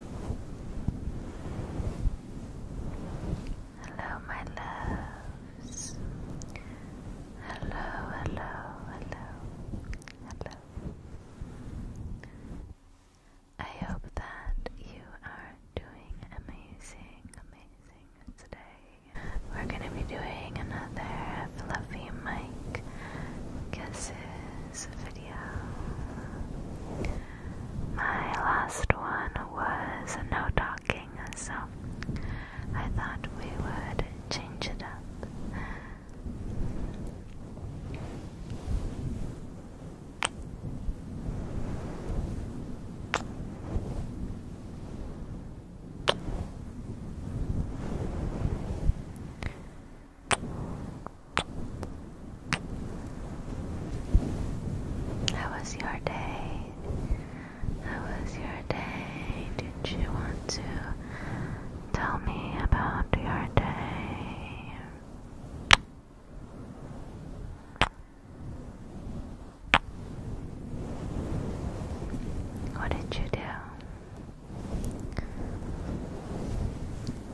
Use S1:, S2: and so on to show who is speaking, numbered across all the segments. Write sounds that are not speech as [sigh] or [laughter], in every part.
S1: Hello, my loves. Hello, hello, hello, hello. I hope that you are doing amazing, amazing today. We're going to be doing another fluffy mic kisses this video. My last one was no talking, so I thought we would change it up. How was your day? How was your day? Did you want to tell me about your day? What did you do?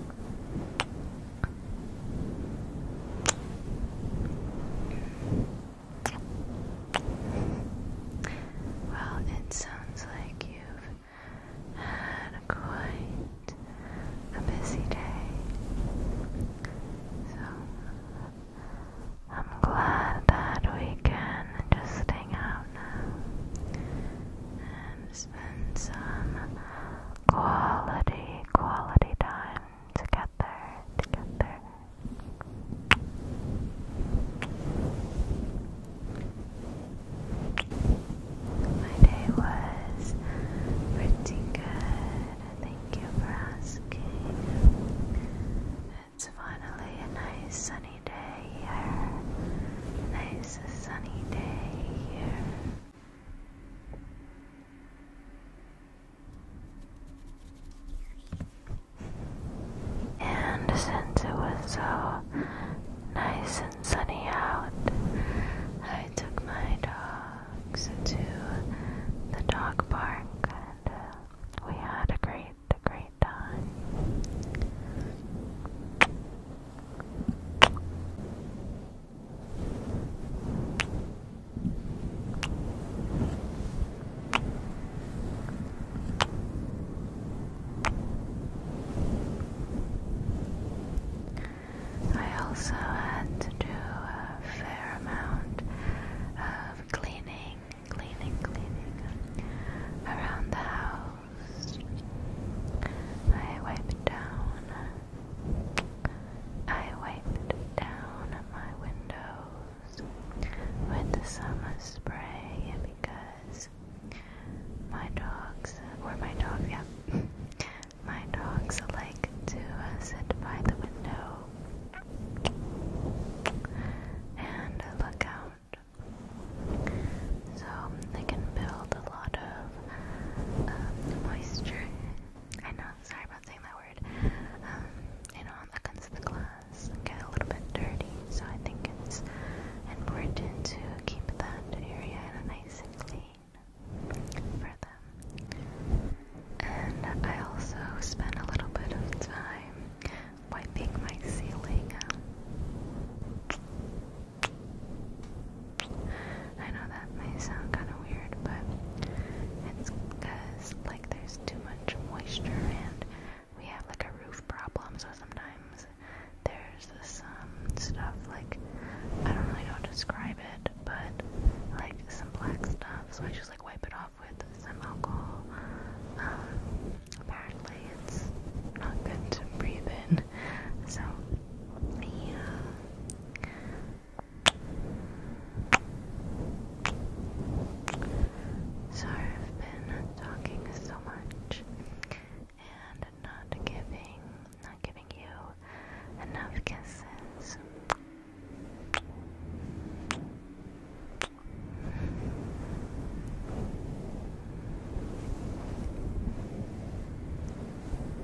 S1: Well, it sounds like you've had quite a busy day. So I'm glad that we can just hang out now and spend some quality, quality time together, together. My day was pretty good. Thank you for asking. It's finally a nice sunny day here. Nice sunny day here. And since it was so nice and sunny out, I took my dogs to the dog park and uh, we had a great, a great time. I also had to do a fair amount of cleaning, cleaning, cleaning around the house. I wiped down I wiped down my windows with the summer spray because my dogs, or my dog, yeah, [laughs] my dogs like to uh, sit by the window and look out. So they can build a lot of um, moisture. I know, sorry about saying that word. Um, you know, that comes to the glass get a little bit dirty, so I think it's important to keep that area nice and clean for them. And I also spend a little bit of time wiping my ceiling. Um, I know that may sound kind of weird, but it's because like there's too much moisture and we have like a roof problem, so sometimes there's this stuff like I don't really know describe it, but like some black stuff. So I just like wipe it off with some alcohol. Um, apparently it's not good to breathe in, so yeah. I've been talking so much and not giving, not giving you enough kisses.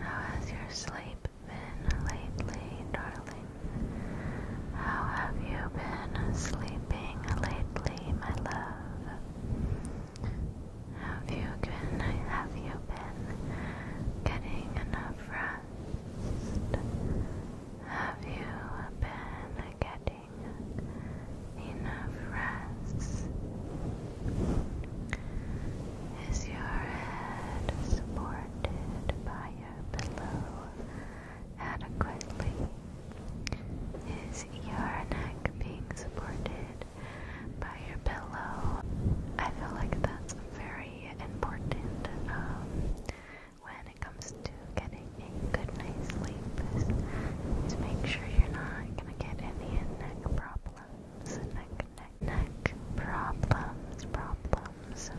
S1: How has your sleep been lately, darling? How have you been sleeping lately, my love? Have you been have you been getting enough rest? Have you been getting enough rest. Is your head supported by your pillow adequately? Is your neck being supported by your pillow? I feel like that's very important um, when it comes to getting a good night's sleep to make sure you're not going get neck problems, neck, neck, neck problems, problems.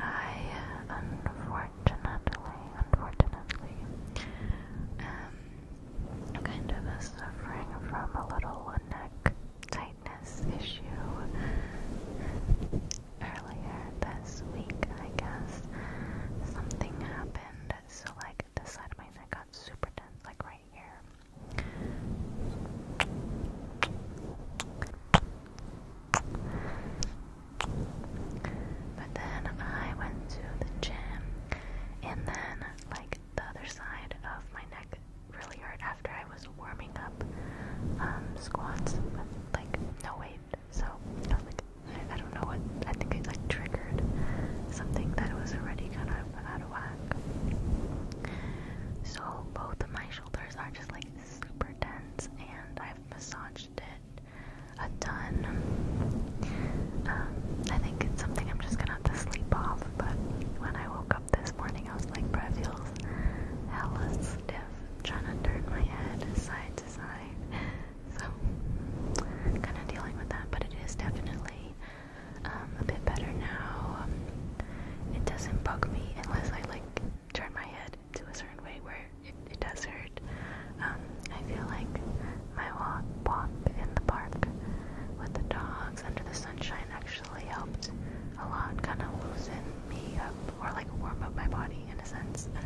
S1: I uh, unfortunately, unfortunately, am um, kind of suffering from a little neck tightness issue. Earlier this week, I guess, something happened so like this side of my neck got super tense, like right here. But then I went to the gym, and then like the other side of my neck really hurt after I was warming up um, squats with like no weight. So I, don't know what I think it like triggered something that was already kind of out of whack. So both of my shoulders are just like super dense, and I've massaged it a ton. Um, I think it's something I'm just gonna have to sleep off. But when I woke up this morning, I was like, "Bruh, feels hella stiff." I'm trying to turn my head side to side. So, kind of dealing with that, but it is definitely um, a bit better now. Um, it doesn't bug me unless I like turn my head to a certain way where it, does hurt. Um, I feel like my walk, walk in the park with the dogs under the sunshine actually helped a lot, kind of loosen me up or like warm up my body in a sense. [laughs]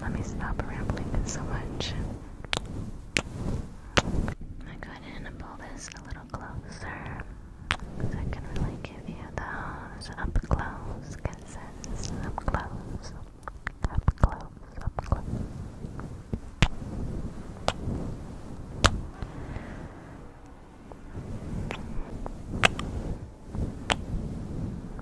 S1: Let me stop rambling so much. I'm gonna pull this a little closer. So I can really give you those up close kisses. Up close. Up close. Up close.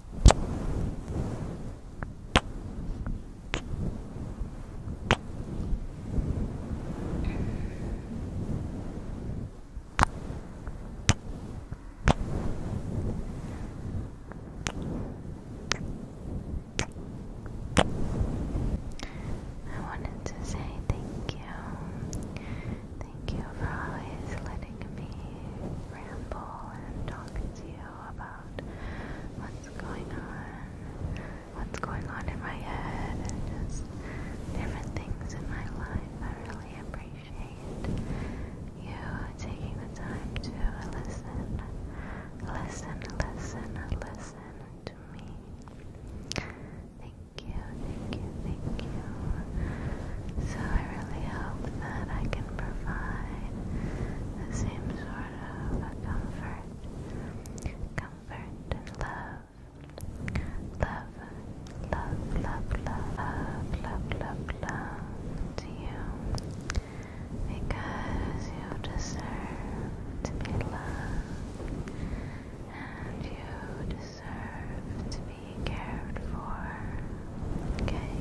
S1: I wanted to say thank you. Thank you for always letting me ramble and talk to you about what's going on, what's going on in my head, and just different things in my life. I really appreciate you taking the time to listen, listen, listen, listen to me. Thank you, thank you, thank you. So I really hope that I can provide the same sort of comfort, comfort and love. Love, love, love, love, love, love, love to you because you deserve to be loved and you deserve to be cared for. Okay?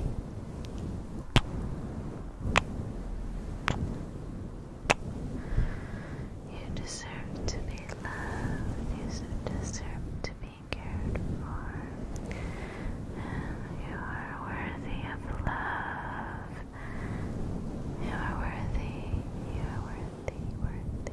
S1: You deserve to be loved, you deserve to be cared for, you are worthy of love. You are worthy, you are worthy, worthy.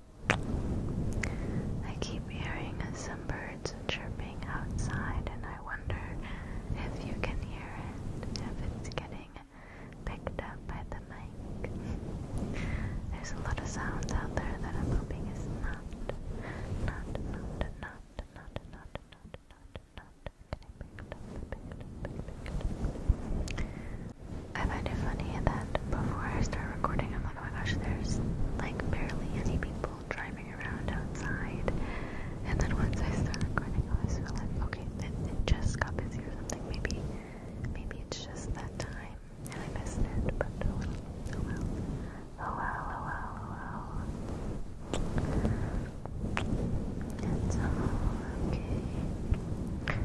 S1: I keep hearing some birds chirping outside, and I wonder if you can hear it, if it's getting picked up by the mic. There's a lot of sounds out there that I'm hoping is not, not, not, not, not, not, not, not, not getting picked up, picked up, picked up. I find it funny that before I start recording a oh my gosh, there's like barely any people driving around outside. And then once I start recording, I was like, okay, it, it just got busy or something. Maybe, maybe it's just that time and I missed it. But oh well, oh well, oh well, oh well, oh It's all okay.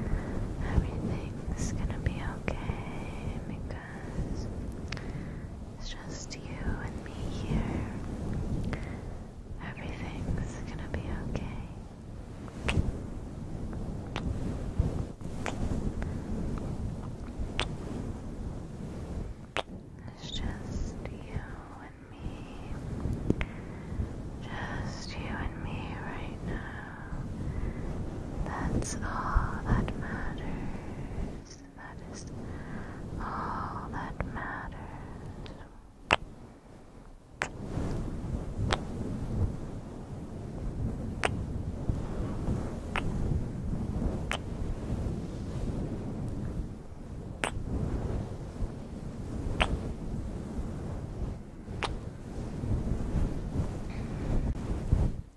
S1: Everything's gonna be okay because it's just you and me here. Everything's gonna be okay. It's just you and me. Just you and me right now. That's all that matters. That is all that matters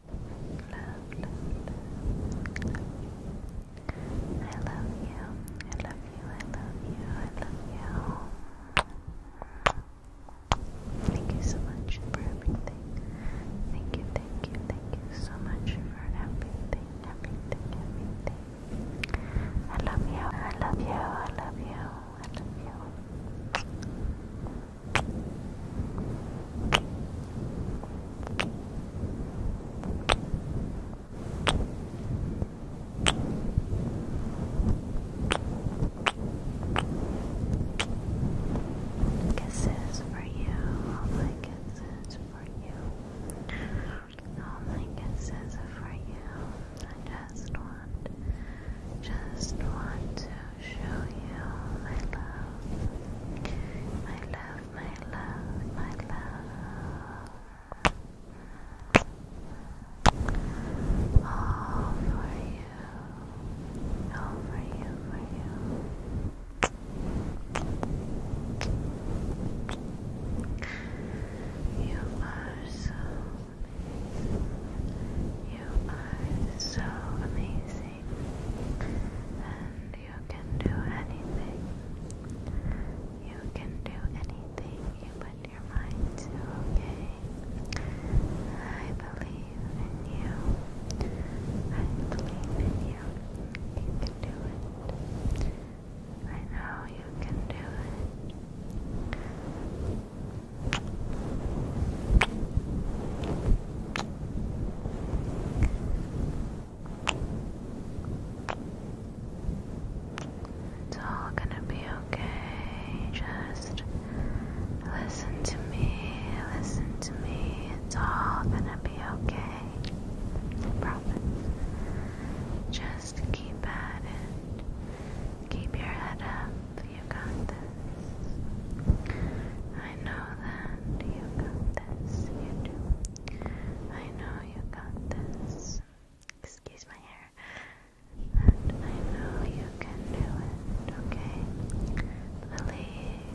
S1: love, love, love, love. I love you. I love you. I love you. I love you. Thank you so much for everything. Thank you, thank you, thank you so much for everything, everything, everything. I love you. I love you. I love you. I love you. Kisses for you, all my kisses for you, all my kisses for you. I just want, just want to show you my love, my love, my love, my love. All for you, all for you, for you. You are so amazing. You are so amazing anything, and you can do anything. You can do anything you put your mind to, I believe in you. I believe in you. You can do it. I know you can do it. It's all gonna be okay. Just listen to me, listen to me. It's all gonna be okay. I promise. Just keep at it. Keep your head up. You got this. I know that you got this. You do. I know you got this. Excuse my hair. And I know you can do it, okay? Believe.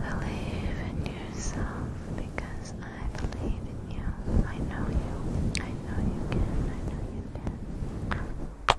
S1: Believe in yourself because I believe in you. I know you. I know you can. I know you can.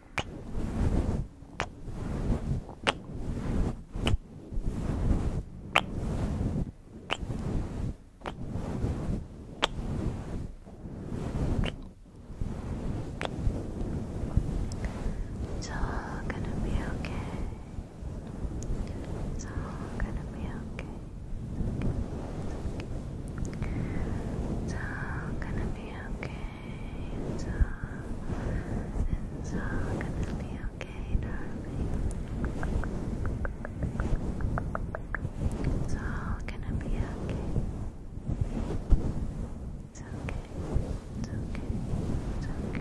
S1: It's all gonna be okay. It's all gonna be okay. It's, all gonna be okay. It's all, gonna be okay, darling. It's all gonna be okay. It's okay. It's okay. It's okay.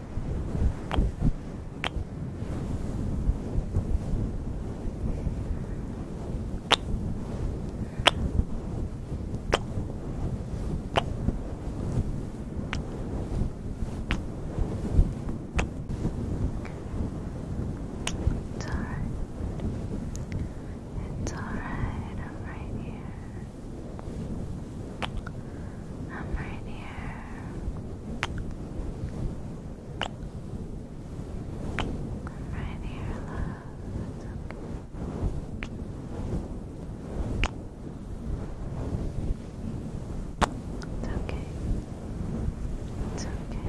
S1: It's alright. It's alright, I'm right here. I'm right here. I'm right here, love. It's okay. It's okay. It's okay.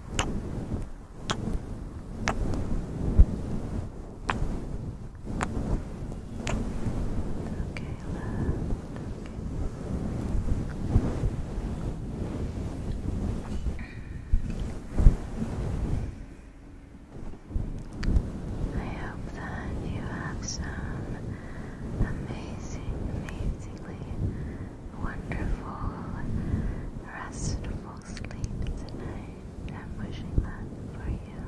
S1: Okay, I hope that you have some amazing, amazingly wonderful, restful sleep tonight. I'm wishing that for you.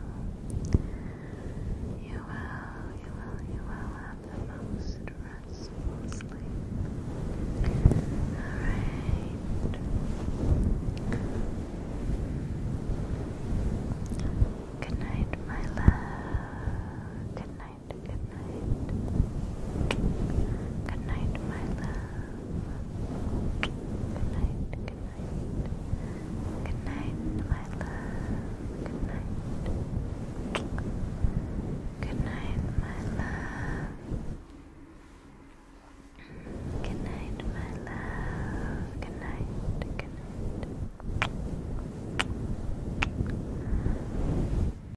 S1: You will, you will, you will have the most restful sleep. Alright. Good night, my love. Good night good night. Good night, my love. Good night, good night. Good night, my love. Good night. Good night, my love. Good night, my love. Good night, good night.